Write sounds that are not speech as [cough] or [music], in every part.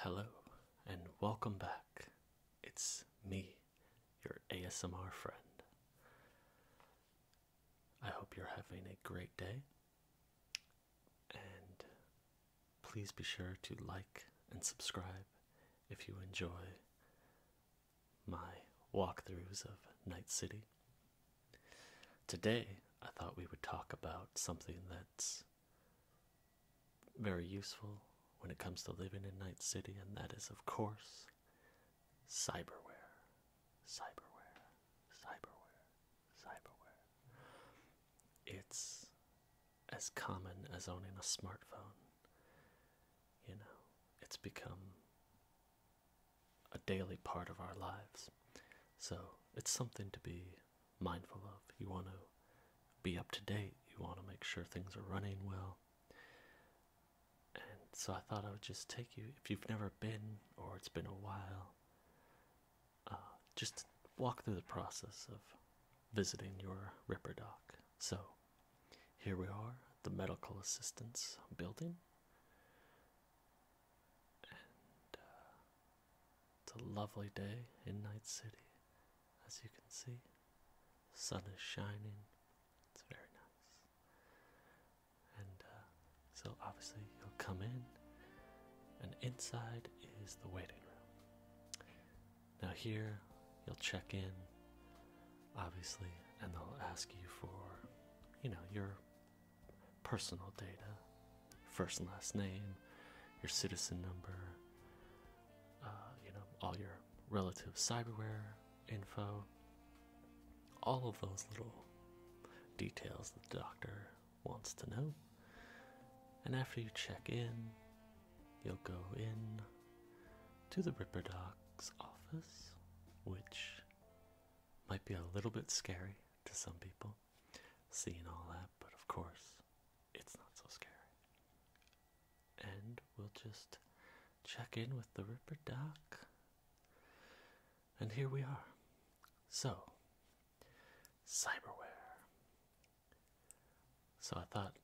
Hello and welcome back. It's me, your ASMR friend. I hope you're having a great day. And please be sure to like and subscribe if you enjoy my walkthroughs of Night City. Today, I thought we would talk about something that's very useful when it comes to living in Night City, and that is, of course, cyberware. Cyberware, cyberware, cyberware. It's as common as owning a smartphone. You know, it's become a daily part of our lives. So it's something to be mindful of. You want to be up to date, you want to make sure things are running well. And so I thought I would just take you, if you've never been or it's been a while, uh, just walk through the process of visiting your Ripper Dock. So here we are, the medical assistance building and uh, it's a lovely day in Night City, as you can see. sun is shining. It's very nice. And uh, so obviously you'll come in, and inside is the waiting room. Now here you'll check in, obviously, and they'll ask you for, you know, your personal data, first and last name, your citizen number, uh, you know, all your relative cyberware info, all of those little details that the doctor wants to know. And after you check in, you'll go in to the Ripperdoc's office, which might be a little bit scary to some people seeing all that, but of course, it's not so scary. And we'll just check in with the Ripper Doc. And here we are. So, cyberware. So, I thought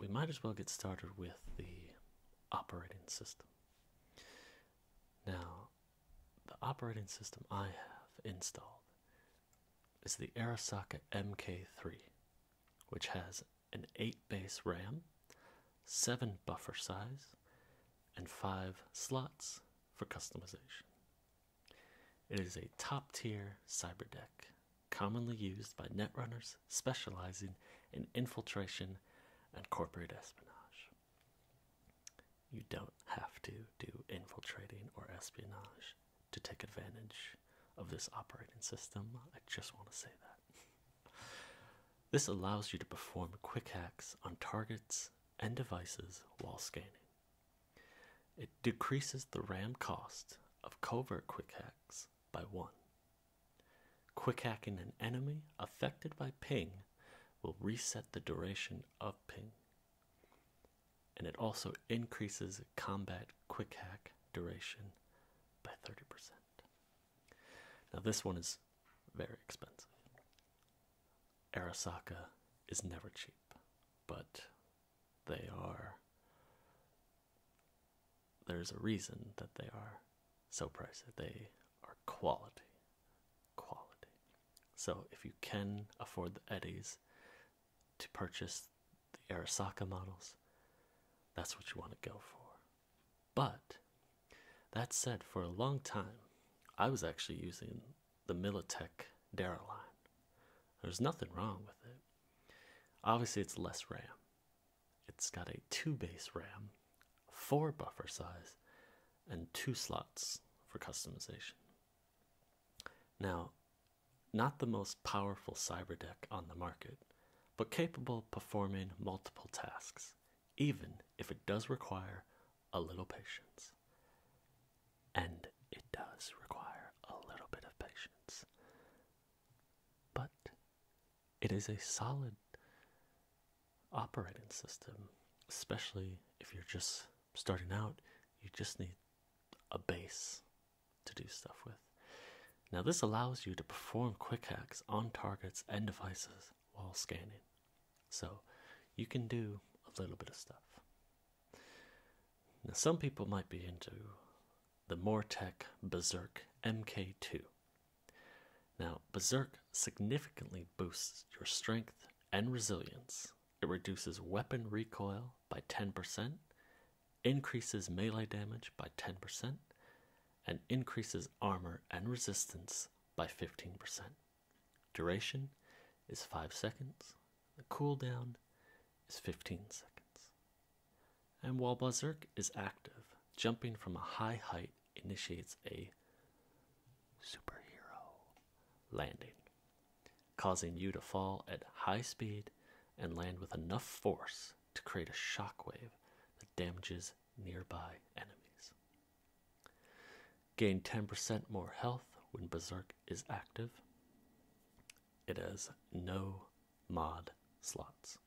we might as well get started with the operating system. Now, the operating system I have installed is the Arasaka MK3, which has an 8 base RAM, 7 buffer size, and 5 slots for customization. It is a top tier cyberdeck, commonly used by netrunners specializing in infiltration and corporate espionage. You don't have to do infiltrating or espionage to take advantage of this operating system. I just want to say that. This allows you to perform quick hacks on targets and devices while scanning. It decreases the RAM cost of covert quick hacks by one. Quick hacking an enemy affected by ping will reset the duration of ping and it also increases combat quick hack duration by 30%. Now, this one is very expensive. Arasaka is never cheap, but they are. There's a reason that they are so pricey. They are quality quality. So, if you can afford the Eddies to purchase the Arisaka models, that's what you want to go for. But that said, for a long time, I was actually using the Militech Dara line. There's nothing wrong with it. Obviously, it's less RAM. It's got a two base RAM, four buffer size, and two slots for customization. Now, not the most powerful cyberdeck on the market, but capable of performing multiple tasks, even if it does require a little patience. And it does require a little bit of patience. But it is a solid operating system, especially if you're just starting out, you just need a base to do stuff with. Now, this allows you to perform quick hacks on targets and devices while scanning. So, you can do a little bit of stuff. Now, some people might be into the Mortec Berserk MK2. Now, Berserk significantly boosts your strength and resilience it reduces weapon recoil by 10%, increases melee damage by 10%, and increases armor and resistance by 15%. Duration is 5 seconds. The cooldown is 15 seconds. And while Berserk is active, jumping from a high height initiates a superhero landing, causing you to fall at high speed and land with enough force to create a shockwave that damages nearby enemies. Gain 10% more health when Berserk is active. It has no mod slots.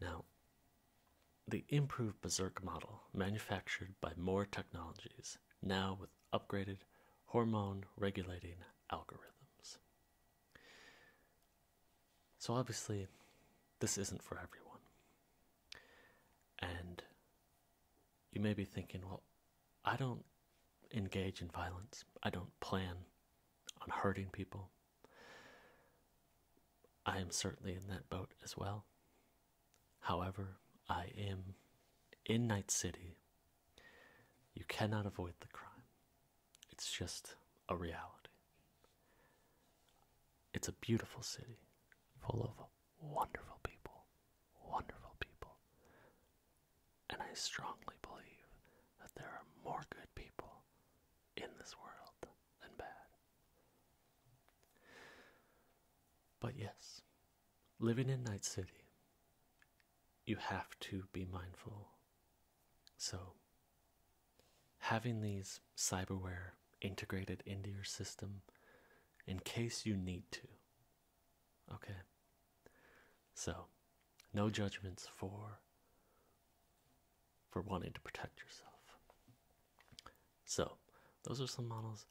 Now, the improved Berserk model, manufactured by More Technologies, now with upgraded hormone regulating algorithms. So, obviously, this isn't for everyone. And you may be thinking, well, I don't engage in violence, I don't plan on hurting people. I am certainly in that boat as well. However, I am in Night City. You cannot avoid the crime. It's just a reality. It's a beautiful city full of wonderful people, wonderful people. And I strongly believe that there are more good people in this world than bad. But yes, living in Night City, you have to be mindful. So, having these cyberware integrated into your system in case you need to. Okay? So, no judgments for for wanting to protect yourself. So, those are some models.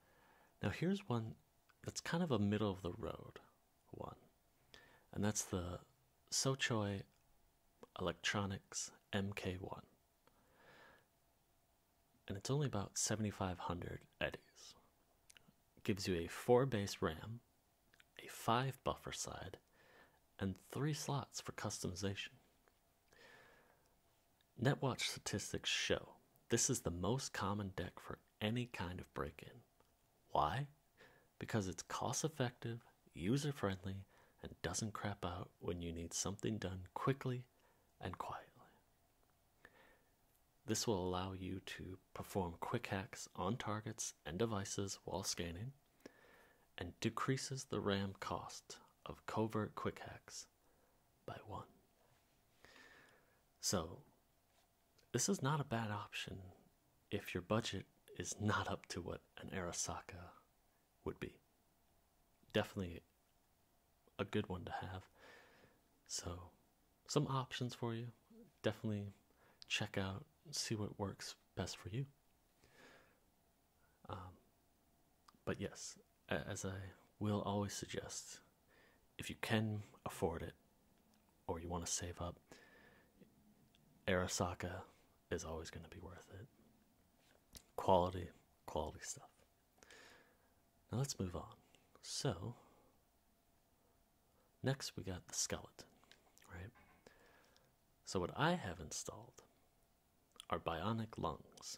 Now, here's one that's kind of a middle of the road one, and that's the Sochoi Electronics MK1. And it's only about 7500 eddies. gives you a 4 base RAM, a 5 buffer side, and 3 slots for customization. Netwatch statistics show this is the most common deck for any kind of break in. Why? Because it's cost effective, user friendly, and doesn't crap out when you need something done quickly and quietly. This will allow you to perform quick hacks on targets and devices while scanning and decreases the RAM cost of covert quick hacks by one. So, this is not a bad option if your budget is not up to what an Arasaka would be. Definitely a good one to have. So, some options for you. Definitely check out, see what works best for you. Um, but yes, as I will always suggest, if you can afford it or you want to save up, Arasaka is always going to be worth it. Quality, quality stuff. Now let's move on. So, next we got the skeleton, right? So, what I have installed are bionic lungs.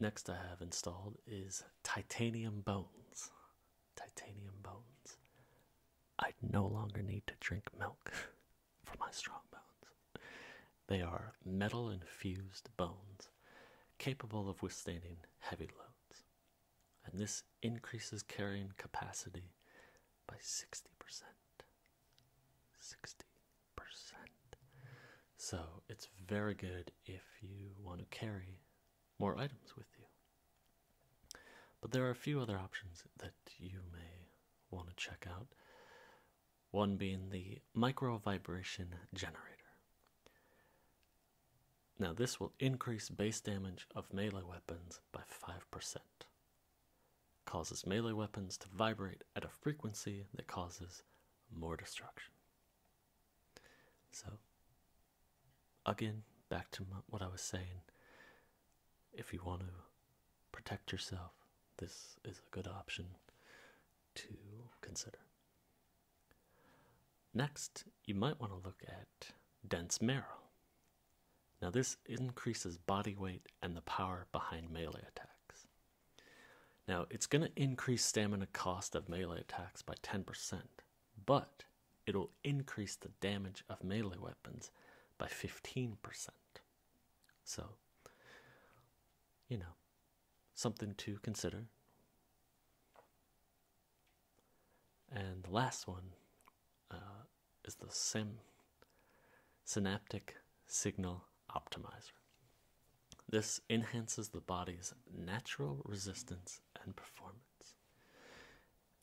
Next, I have installed is Titanium Bones. Titanium Bones. I no longer need to drink milk [laughs] for my strong bones. They are metal infused bones capable of withstanding heavy loads, and this increases carrying capacity by 60%. 60%. So it's very good if you want to carry more items with you. But there are a few other options that you may want to check out. One being the micro vibration generator. Now, this will increase base damage of melee weapons by 5%. Causes melee weapons to vibrate at a frequency that causes more destruction. So, again, back to what I was saying. If you want to protect yourself, this is a good option to consider. Next, you might want to look at dense marrow. Now, this increases body weight and the power behind melee attacks. Now, it's going to increase stamina cost of melee attacks by 10%, but it'll increase the damage of melee weapons by 15%. So, you know, something to consider. And the last one uh, is the syn synaptic signal optimizer. This enhances the body's natural resistance and performance.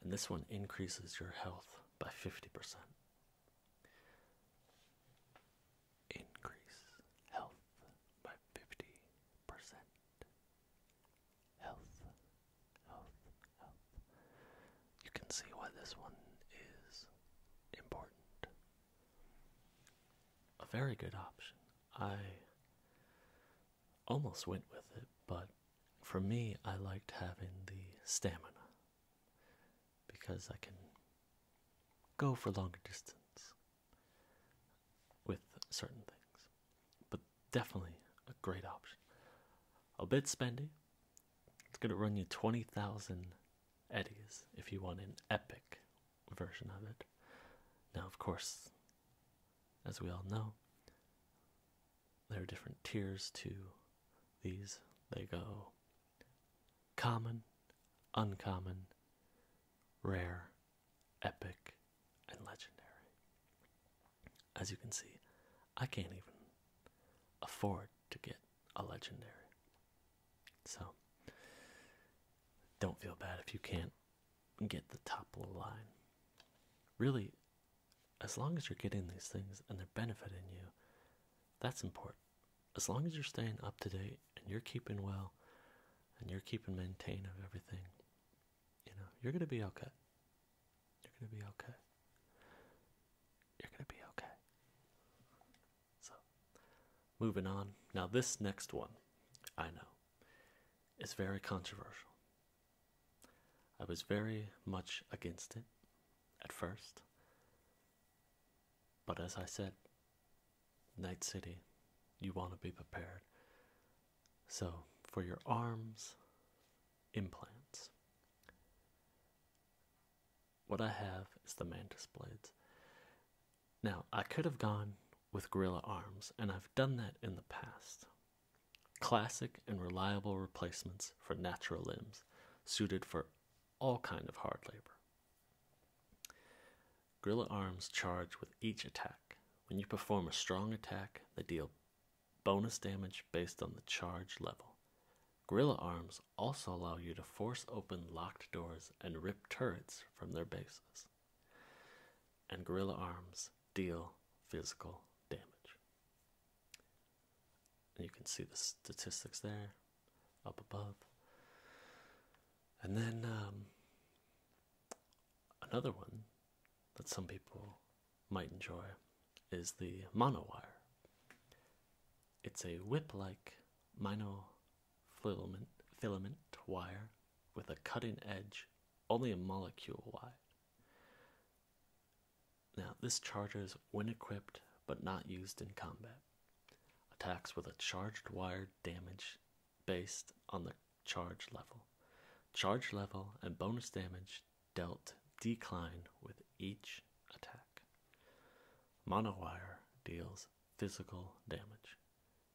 And this one increases your health by 50%. Increase health by 50%. Health, health, health. You can see why this one is important. A very good option I almost went with it, but for me, I liked having the stamina because I can go for longer distance with certain things, but definitely a great option. A bit spendy, it's going to run you 20,000 eddies if you want an epic version of it. Now, of course, as we all know, there are different tiers to these. They go common, uncommon, rare, epic, and legendary. As you can see, I can't even afford to get a legendary. So, don't feel bad if you can't get the top of line. Really, as long as you're getting these things and they're benefiting you, that's important. As long as you're staying up to date and you're keeping well and you're keeping maintain of everything, you know, you're gonna be okay. You're gonna be okay. You're gonna be okay. So moving on. Now this next one, I know. It's very controversial. I was very much against it at first, but as I said, Night City, you want to be prepared. So, for your arms, implants. What I have is the mantis blades. Now, I could have gone with Gorilla Arms, and I've done that in the past. Classic and reliable replacements for natural limbs, suited for all kind of hard labor. Gorilla Arms charge with each attack. When you perform a strong attack, they deal bonus damage based on the charge level. Gorilla Arms also allow you to force open locked doors and rip turrets from their bases and Gorilla Arms deal physical damage. And you can see the statistics there up above. And then um, another one that some people might enjoy is the mono It's a whip like mono filament, filament wire with a cutting edge only a molecule wide. Now, this charger is when equipped but not used in combat. Attacks with a charged wire damage based on the charge level. Charge level and bonus damage dealt decline with each attack. Mono wire deals physical damage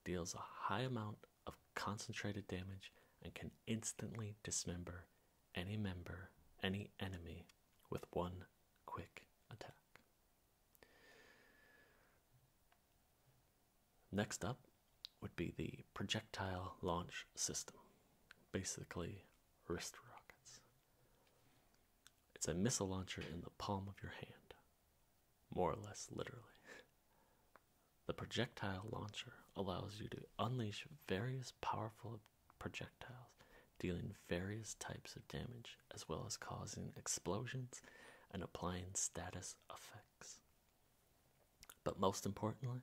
deals a high amount of concentrated damage and can instantly dismember any member, any enemy with one quick attack. Next up would be the projectile launch system, basically wrist rockets. It's a missile launcher in the palm of your hand more or less literally. The projectile launcher allows you to unleash various powerful projectiles, dealing various types of damage, as well as causing explosions and applying status effects. But most importantly,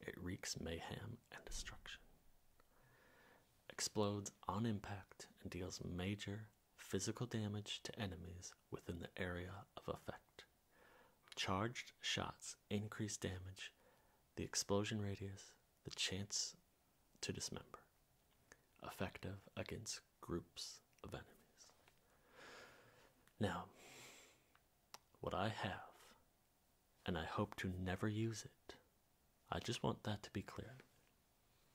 it wreaks mayhem and destruction. Explodes on impact and deals major physical damage to enemies within the area of effect. Charged shots increase damage, the explosion radius, the chance to dismember. Effective against groups of enemies. Now, what I have, and I hope to never use it, I just want that to be clear,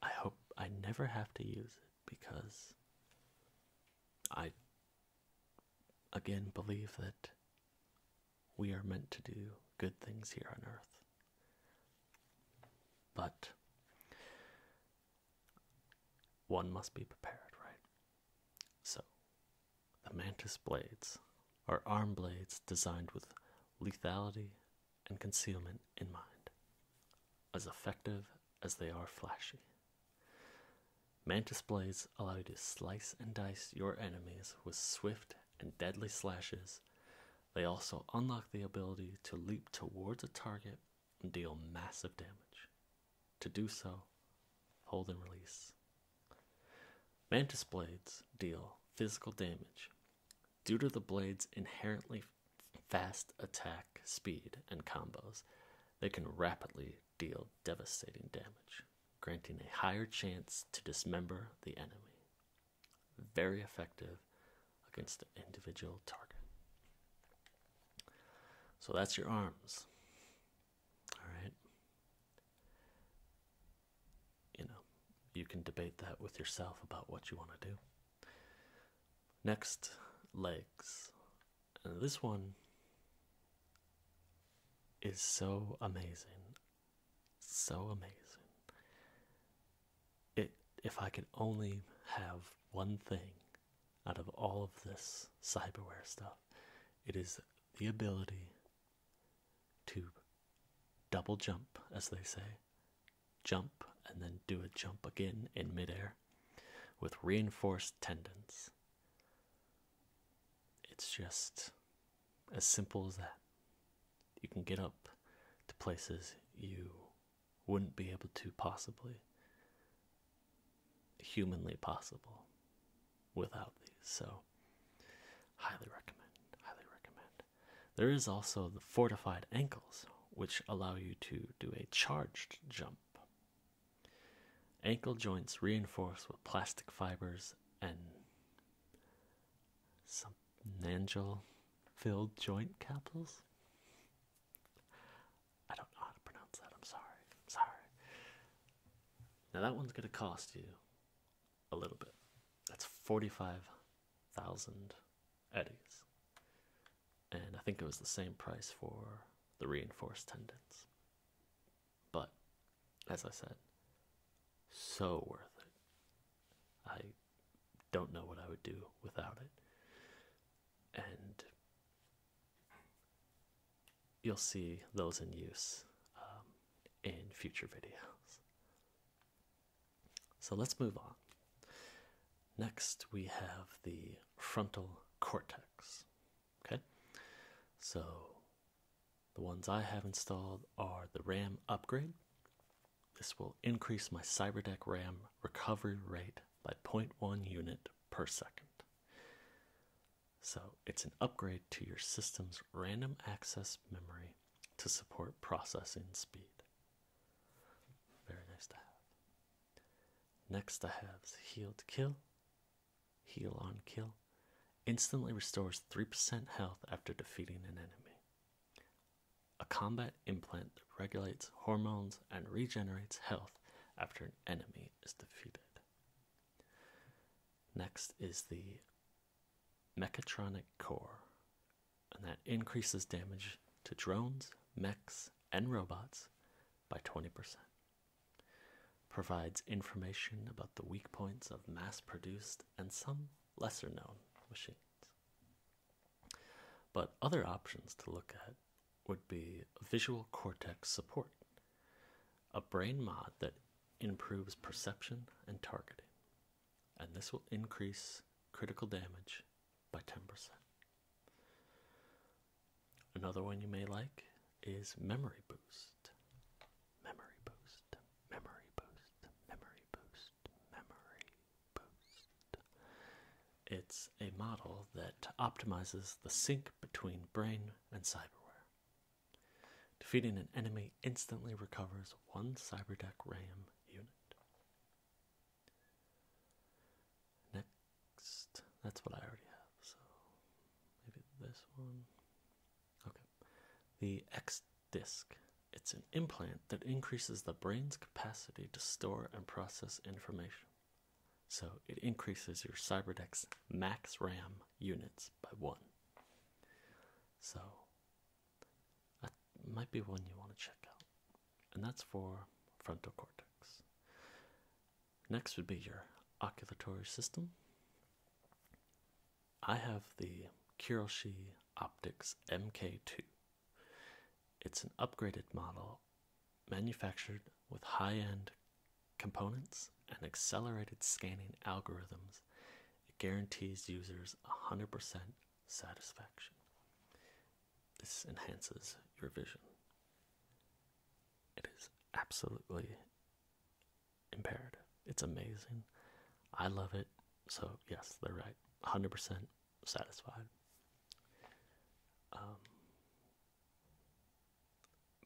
I hope I never have to use it because I again believe that we are meant to do good things here on earth. But one must be prepared, right? So, the mantis blades are arm blades designed with lethality and concealment in mind, as effective as they are flashy. Mantis blades allow you to slice and dice your enemies with swift and deadly slashes. They also unlock the ability to leap towards a target and deal massive damage. To do so, hold and release. Mantis blades deal physical damage. Due to the blade's inherently fast attack speed and combos, they can rapidly deal devastating damage, granting a higher chance to dismember the enemy. Very effective against an individual target. So that's your arms. All right. You know, you can debate that with yourself about what you want to do. Next, legs. And this one is so amazing. So amazing. if I could only have one thing out of all of this cyberware stuff, it is the ability to double jump, as they say, jump, and then do a jump again in midair with reinforced tendons. It's just as simple as that. You can get up to places you wouldn't be able to possibly, humanly possible, without these. So, highly recommend, highly recommend. There is also the fortified ankles, which allow you to do a charged jump. Ankle joints reinforced with plastic fibers and some nangel filled joint capsules. I don't know how to pronounce that. I'm sorry. sorry. Now that one's going to cost you a little bit. That's 45,000 eddies and I think it was the same price for the reinforced tendons. But as I said, so worth it. I don't know what I would do without it. And you'll see those in use um, in future videos. So let's move on. Next, we have the frontal cortex. Okay, so the ones I have installed are the RAM upgrade. This will increase my CyberDeck RAM recovery rate by 0.1 unit per second. So it's an upgrade to your system's random access memory to support processing speed. Very nice to have. Next, I have Heal to Kill. Heal on Kill. Instantly restores 3% health after defeating an enemy. A combat implant that regulates hormones and regenerates health after an enemy is defeated. Next is the Mechatronic Core and that increases damage to drones, mechs, and robots by 20%. Provides information about the weak points of mass produced and some lesser known machines. But other options to look at would be visual cortex support, a brain mod that improves perception and targeting, and this will increase critical damage by 10%. Another one you may like is Memory Boost. Memory Boost, Memory Boost, Memory Boost, Memory Boost. It's a model that optimizes the sync between brain and cyberware. Defeating an enemy instantly recovers one cyberdeck RAM unit. Next, that's what I already have, so maybe this one. Okay, the X disc. It's an implant that increases the brain's capacity to store and process information. So it increases your Cyberdex max RAM units by one. So, might be one you want to check out, and that's for frontal cortex. Next would be your oculatory system. I have the Kiroshi Optics MK2. It's an upgraded model manufactured with high end components and accelerated scanning algorithms. It guarantees users 100% satisfaction. This enhances your vision. It is absolutely impaired. It's amazing. I love it. So, yes, they're right. 100% satisfied. Um,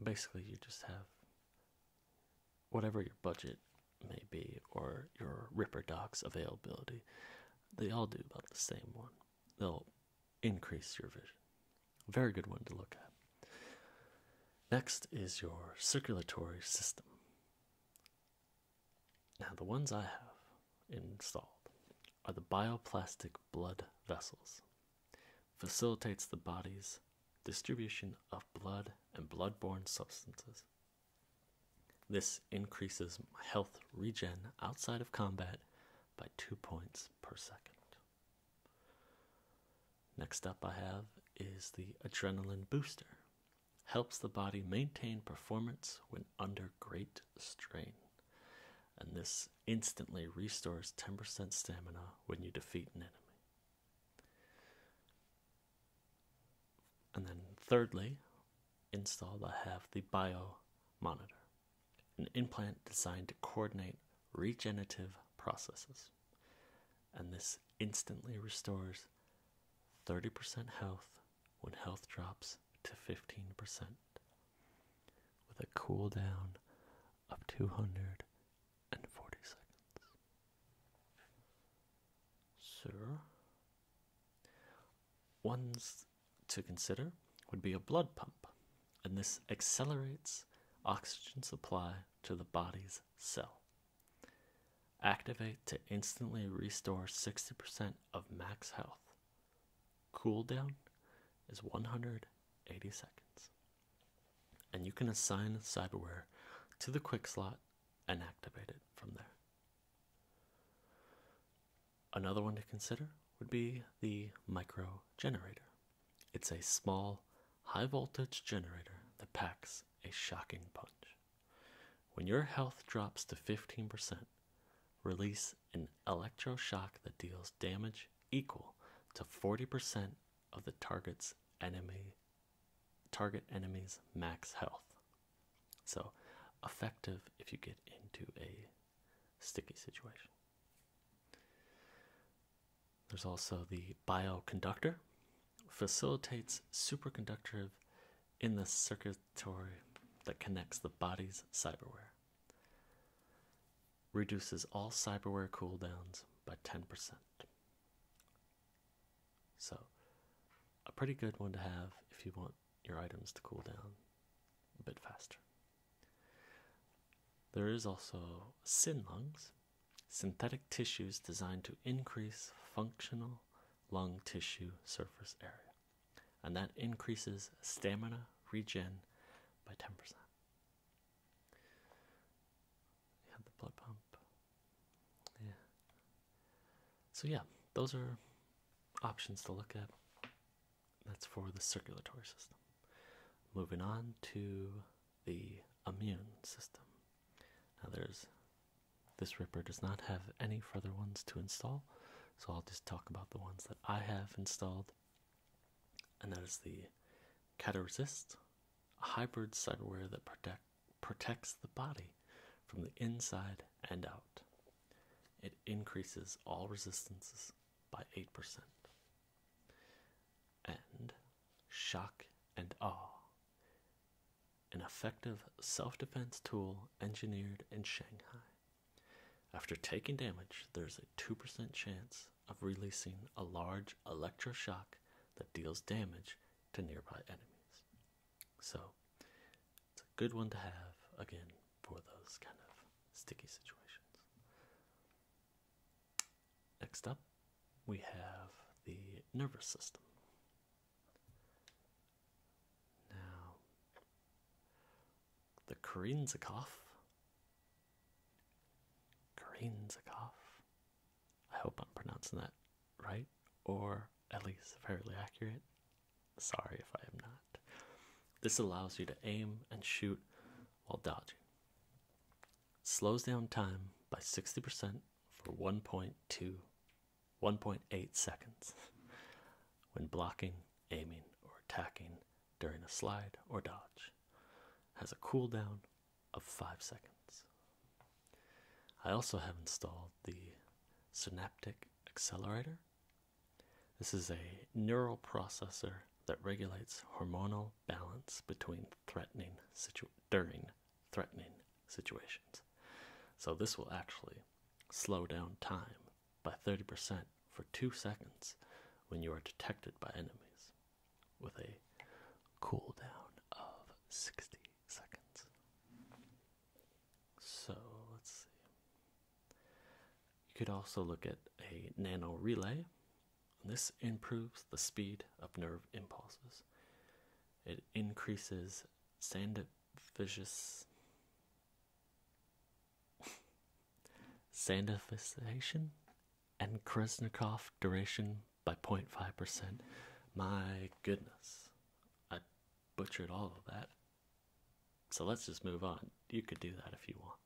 basically, you just have whatever your budget may be or your Ripper Docs availability. They all do about the same one. They'll increase your vision. Very good one to look at. Next is your circulatory system. Now, the ones I have installed are the bioplastic blood vessels. Facilitates the body's distribution of blood and blood-borne substances this increases health regen outside of combat by 2 points per second. Next up, I have is the Adrenaline Booster. Helps the body maintain performance when under great strain. And this instantly restores 10% stamina when you defeat an enemy. And then, thirdly, installed, I have the Bio Monitor, an implant designed to coordinate regenerative processes. And this instantly restores 30% health when health drops to 15%, with a cooldown of 240 seconds. Sir, once to consider would be a blood pump, and this accelerates oxygen supply to the body's cell. Activate to instantly restore 60% of max health. Cool down is 180 seconds. And you can assign cyberware to the quick slot and activate it from there. Another one to consider would be the micro generator. It's a small, high voltage generator that packs a shocking punch. When your health drops to 15%, release an electro shock that deals damage equal to 40% of the target's enemy target enemy's max health. So, effective if you get into a sticky situation. There's also the bioconductor, facilitates superconductivity in the circuitry that connects the body's cyberware. Reduces all cyberware cooldowns by 10%. So, a pretty good one to have if you want your items to cool down a bit faster. There is also syn lungs, synthetic tissues designed to increase functional lung tissue surface area, and that increases stamina regen by 10%. You have the blood pump. Yeah. So, yeah, those are options to look at. That's for the circulatory system. Moving on to the immune system. Now, there's this ripper does not have any further ones to install, so I'll just talk about the ones that I have installed, and that is the Cataresist, a hybrid cyberware that protect protects the body from the inside and out. It increases all resistances by 8%. And shock and awe. An effective self defense tool engineered in Shanghai. After taking damage, there's a 2% chance of releasing a large electroshock that deals damage to nearby enemies. So, it's a good one to have, again, for those kind of sticky situations. Next up, we have the nervous system. Now, the Karinzikov. Karinzikov. I hope I'm pronouncing that right, or at least fairly accurate. Sorry if I am not. This allows you to aim and shoot while dodging. Slows down time by 60% for 1.2 1.8 seconds when blocking, aiming, or attacking during a slide or dodge. Has a cooldown of 5 seconds. I also have installed the Synaptic Accelerator this is a neural processor that regulates hormonal balance between threatening during threatening situations. So this will actually slow down time by 30% for 2 seconds when you are detected by enemies with a cooldown of 60 seconds. So let's see. You could also look at a nano relay. This improves the speed of nerve impulses. It increases sandificious sandification and Krasnikov duration by 0.5%. My goodness, I butchered all of that. So let's just move on. You could do that if you want.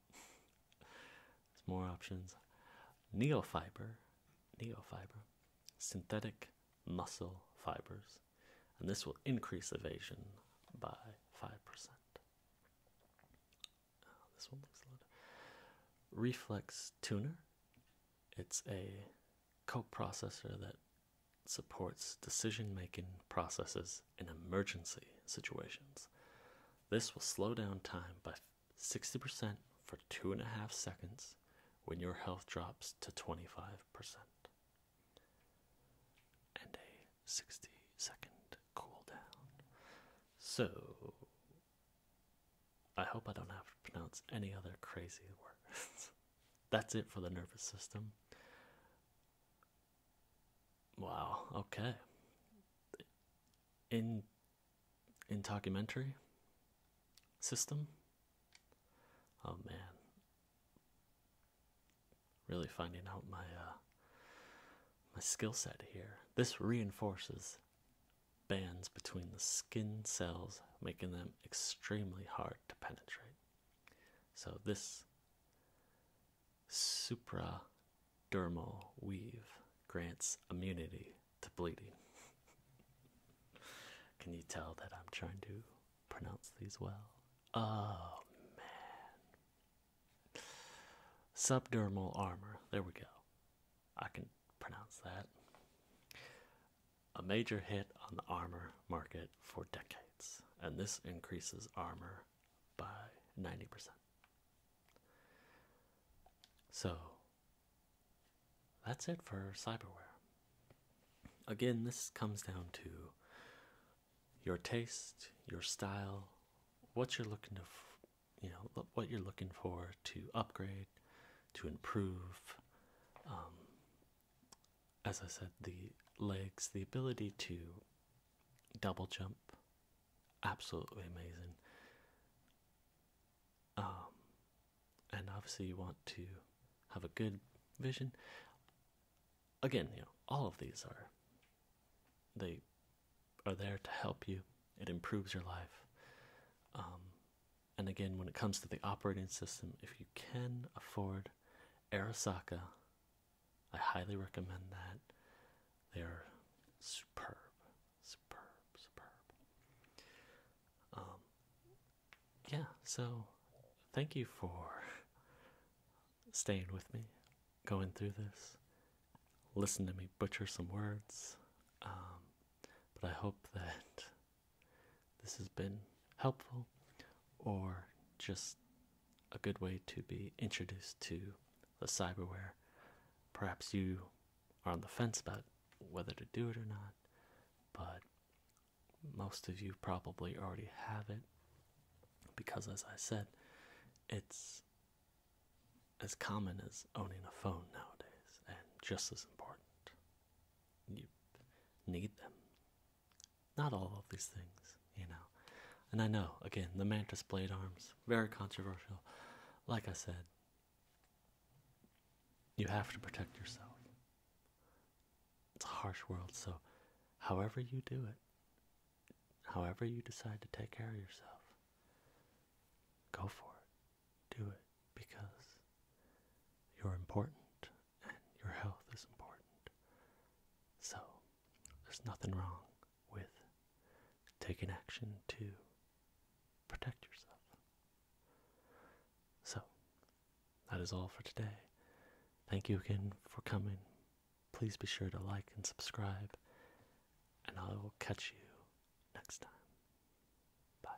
There's more options. Neofiber, neofiber, synthetic muscle fibers, and this will increase evasion by 5%. this one looks a lot. Reflex tuner. It's a coprocessor that supports decision making processes in emergency situations. This will slow down time by 60% for two and a half seconds when your health drops to 25%. And a 60 second cooldown. So, I hope I don't have to pronounce any other crazy [laughs] words. That's it for the nervous system. Wow, okay. In in documentary system? Oh man. Really finding out my uh my skill set here. This reinforces bands between the skin cells, making them extremely hard to penetrate. So this supradermal weave grants immunity to bleeding. [laughs] Can you tell that I'm trying to pronounce these well? Oh man. Subdermal armor. There we go. I can pronounce that a major hit on the armor market for decades, and this increases armor by 90%. So, that's it for cyberware. Again, this comes down to your taste, your style, what you're looking to, you know, what you're looking for to upgrade, to improve, um, as I said, the legs, the ability to double jump, absolutely amazing. Um, and obviously, you want to have a good vision. Again, you know, all of these are they are there to help you. It improves your life. Um, and again, when it comes to the operating system, if you can afford card, Arasaka. I highly recommend that. They're superb, superb, superb. Um, yeah, so thank you for staying with me, going through this. Listen to me butcher some words. Um, but I hope that this has been helpful or just a good way to be introduced to the cyberware. Perhaps you are on the fence about whether to do it or not, but most of you probably already have it because, as I said, it's as common as owning a phone nowadays and just as important. You need them not all of these things, you know. And I know, again, the Mantis Blade Arms, very controversial. Like I said, you have to protect yourself. It's a harsh world, so however you do it, however you decide to take care of yourself, go for it. Do it because you're important and your health is important. So, there's nothing wrong with taking action to protect yourself. So, that is all for today. Thank you again for coming. Please be sure to like and subscribe, and I will catch you next time. Bye.